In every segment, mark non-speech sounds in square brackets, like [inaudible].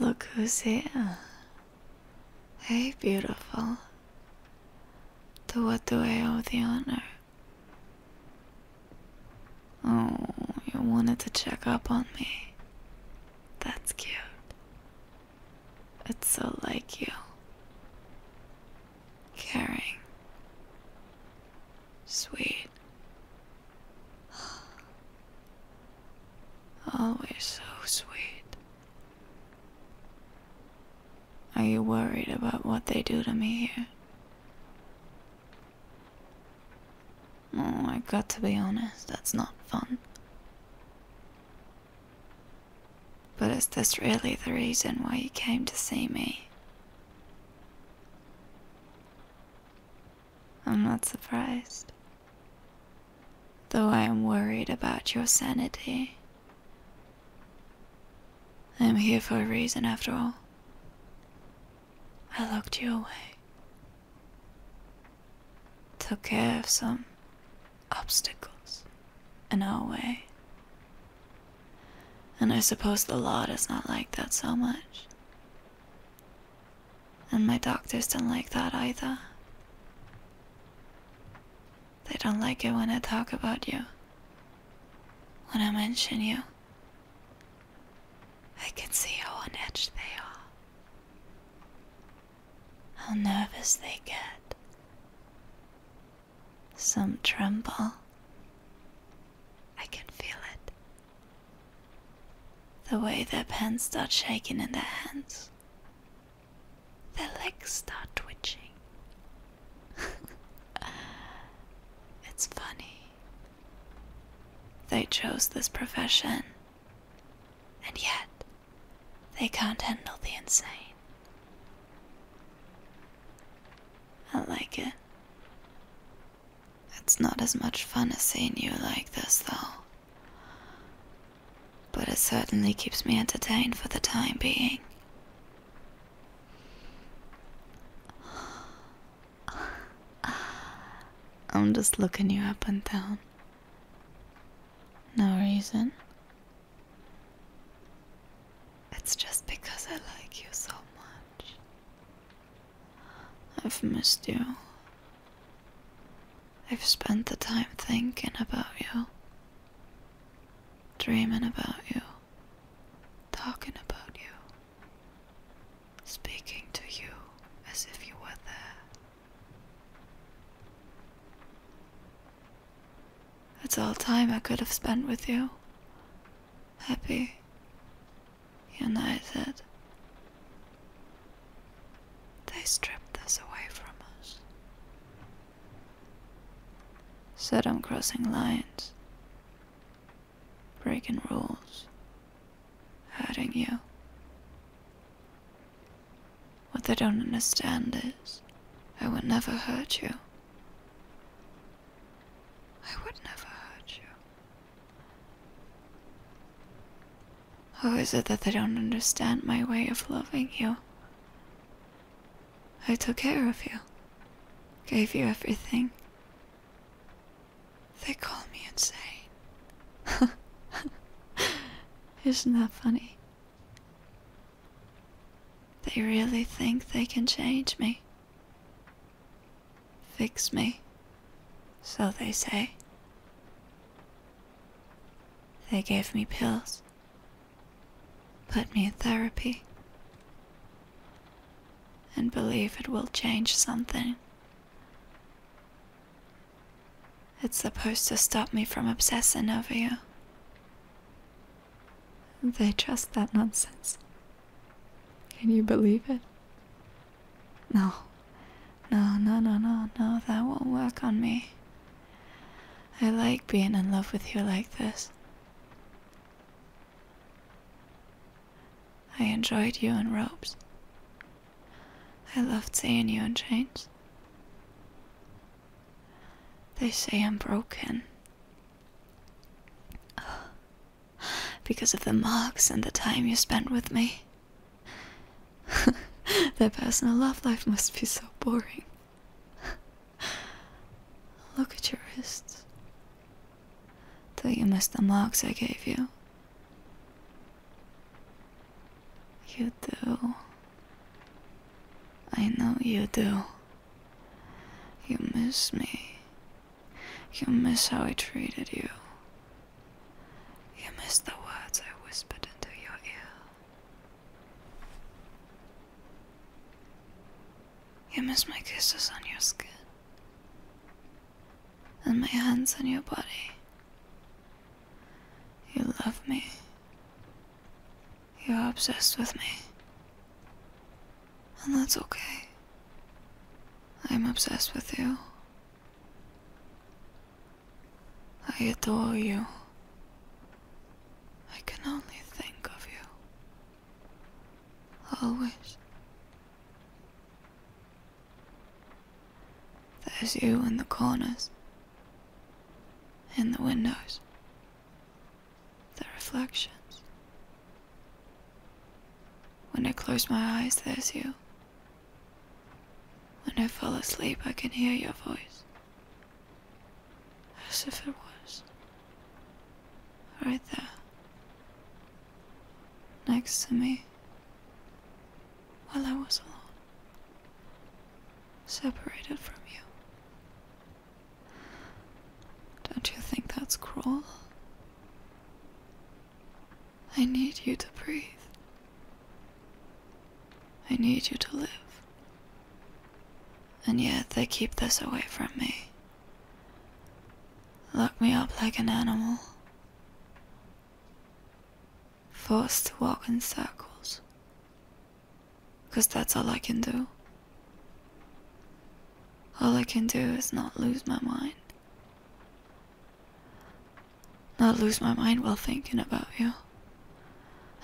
Look who's here. Hey, beautiful. To what do I owe the honor? Oh, you wanted to check up on me. That's cute. It's so like you. Caring. Sweet. [gasps] Always so sweet. Are you worried about what they do to me here? Oh, I have got to be honest, that's not fun. But is this really the reason why you came to see me? I'm not surprised. Though I am worried about your sanity. I am here for a reason after all. I locked you away. Took care of some obstacles in our way. And I suppose the law does not like that so much. And my doctors don't like that either. They don't like it when I talk about you, when I mention you. I can see how on edge they are, how nervous they get. Some tremble. I can feel it. The way their pens start shaking in their hands. Their legs start twitching. [laughs] it's funny. They chose this profession, and yet they can't handle the insane. I like it. It's not as much fun as seeing you like this, though but it certainly keeps me entertained for the time being. I'm just looking you up and down. No reason. It's just because I like you so much. I've missed you. I've spent the time thinking about you, dreaming about you, talking about you, speaking to you as if you were there. It's all time I could have spent with you, happy, united, they stripped this away from us. Said I'm crossing lines, breaking rules, hurting you. What they don't understand is I would never hurt you. I would never hurt you. Or is it that they don't understand my way of loving you? I took care of you, gave you everything. They call me insane. [laughs] Isn't that funny? They really think they can change me, fix me, so they say. They gave me pills, put me in therapy, and believe it will change something. It's supposed to stop me from obsessing over you. They trust that nonsense. Can you believe it? No, no, no, no, no, no, that won't work on me. I like being in love with you like this. I enjoyed you in robes. I loved seeing you in chains. They say I'm broken. [sighs] Because of the marks and the time you spent with me. [laughs] Their personal love life must be so boring. [laughs] Look at your wrists. Do you miss the marks I gave you? You do. I know you do. You miss me. You miss how I treated you. You missed the words I whispered into your ear. You miss my kisses on your skin and my hands on your body. You love me. You're obsessed with me. And that's okay. I'm obsessed with you. I adore you. I can only think of you. Always. There's you in the corners, in the windows, the reflections. When I close my eyes, there's you. When I fall asleep, I can hear your voice. As if it was right there, next to me, while I was alone, separated from you. Don't you think that's cruel? I need you to breathe. I need you to live. And yet they keep this away from me. Lock me up like an animal. Forced to walk in circles. Cause that's all I can do. All I can do is not lose my mind. Not lose my mind while thinking about you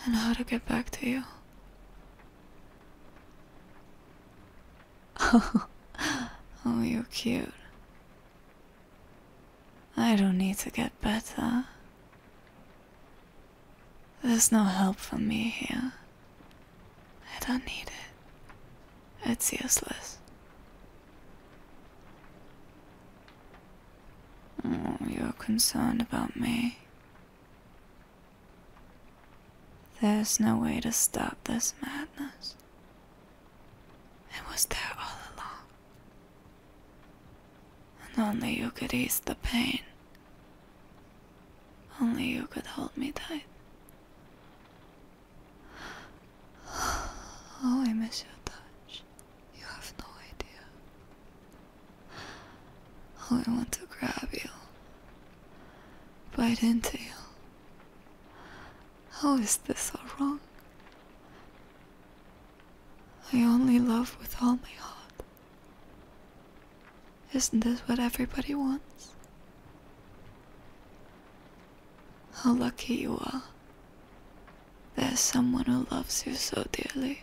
and how to get back to you. [laughs] oh, you're cute. I don't need to get better. There's no help for me here. I don't need it. It's useless. Oh, you're concerned about me. There's no way to stop this madness. It was there all along. And only you could ease the pain. Only you could hold me tight. Oh, I miss your touch. You have no idea. Oh, I want to grab you, bite into you. How is this all wrong? I only love with all my heart. Isn't this what everybody wants? How lucky you are. There's someone who loves you so dearly,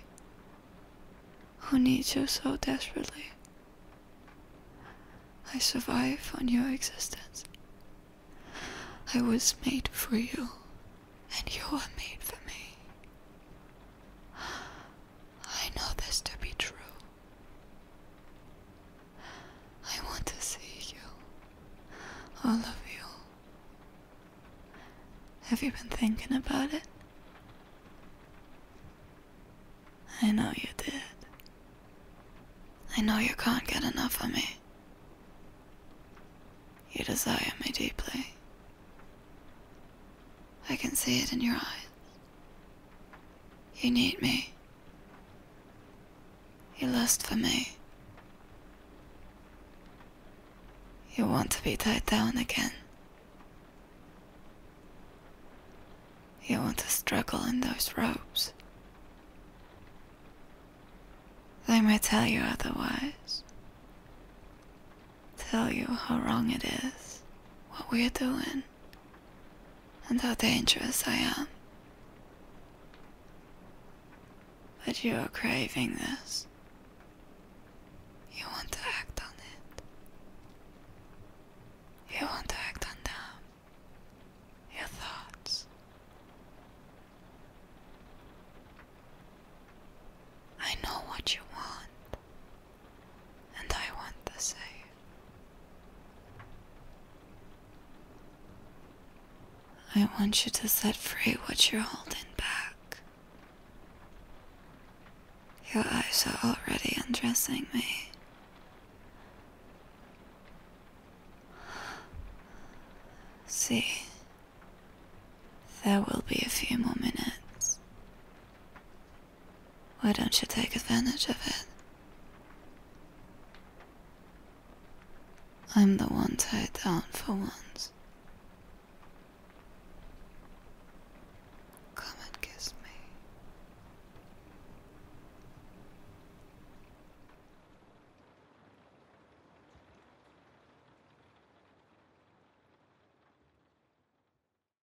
who needs you so desperately. I survive on your existence. I was made for you, and you are made for me. I know this to be true. I want to see you. All of you. Have you been thinking about it? I know you did. I know you can't get enough of me. You desire me deeply. I can see it in your eyes. You need me. You lust for me. You want to be tied down again. You want to struggle in those ropes. They may tell you otherwise. Tell you how wrong it is, what we're doing, and how dangerous I am. But you are craving this. You want to act on it. You want to act on them. Your thoughts. I know what you want and I want the same. I want you to set free what you're holding back. Your eyes are already undressing me. See, there will be a few more minutes. Why don't you take advantage of it? I'm the one tied down for once. Come and kiss me.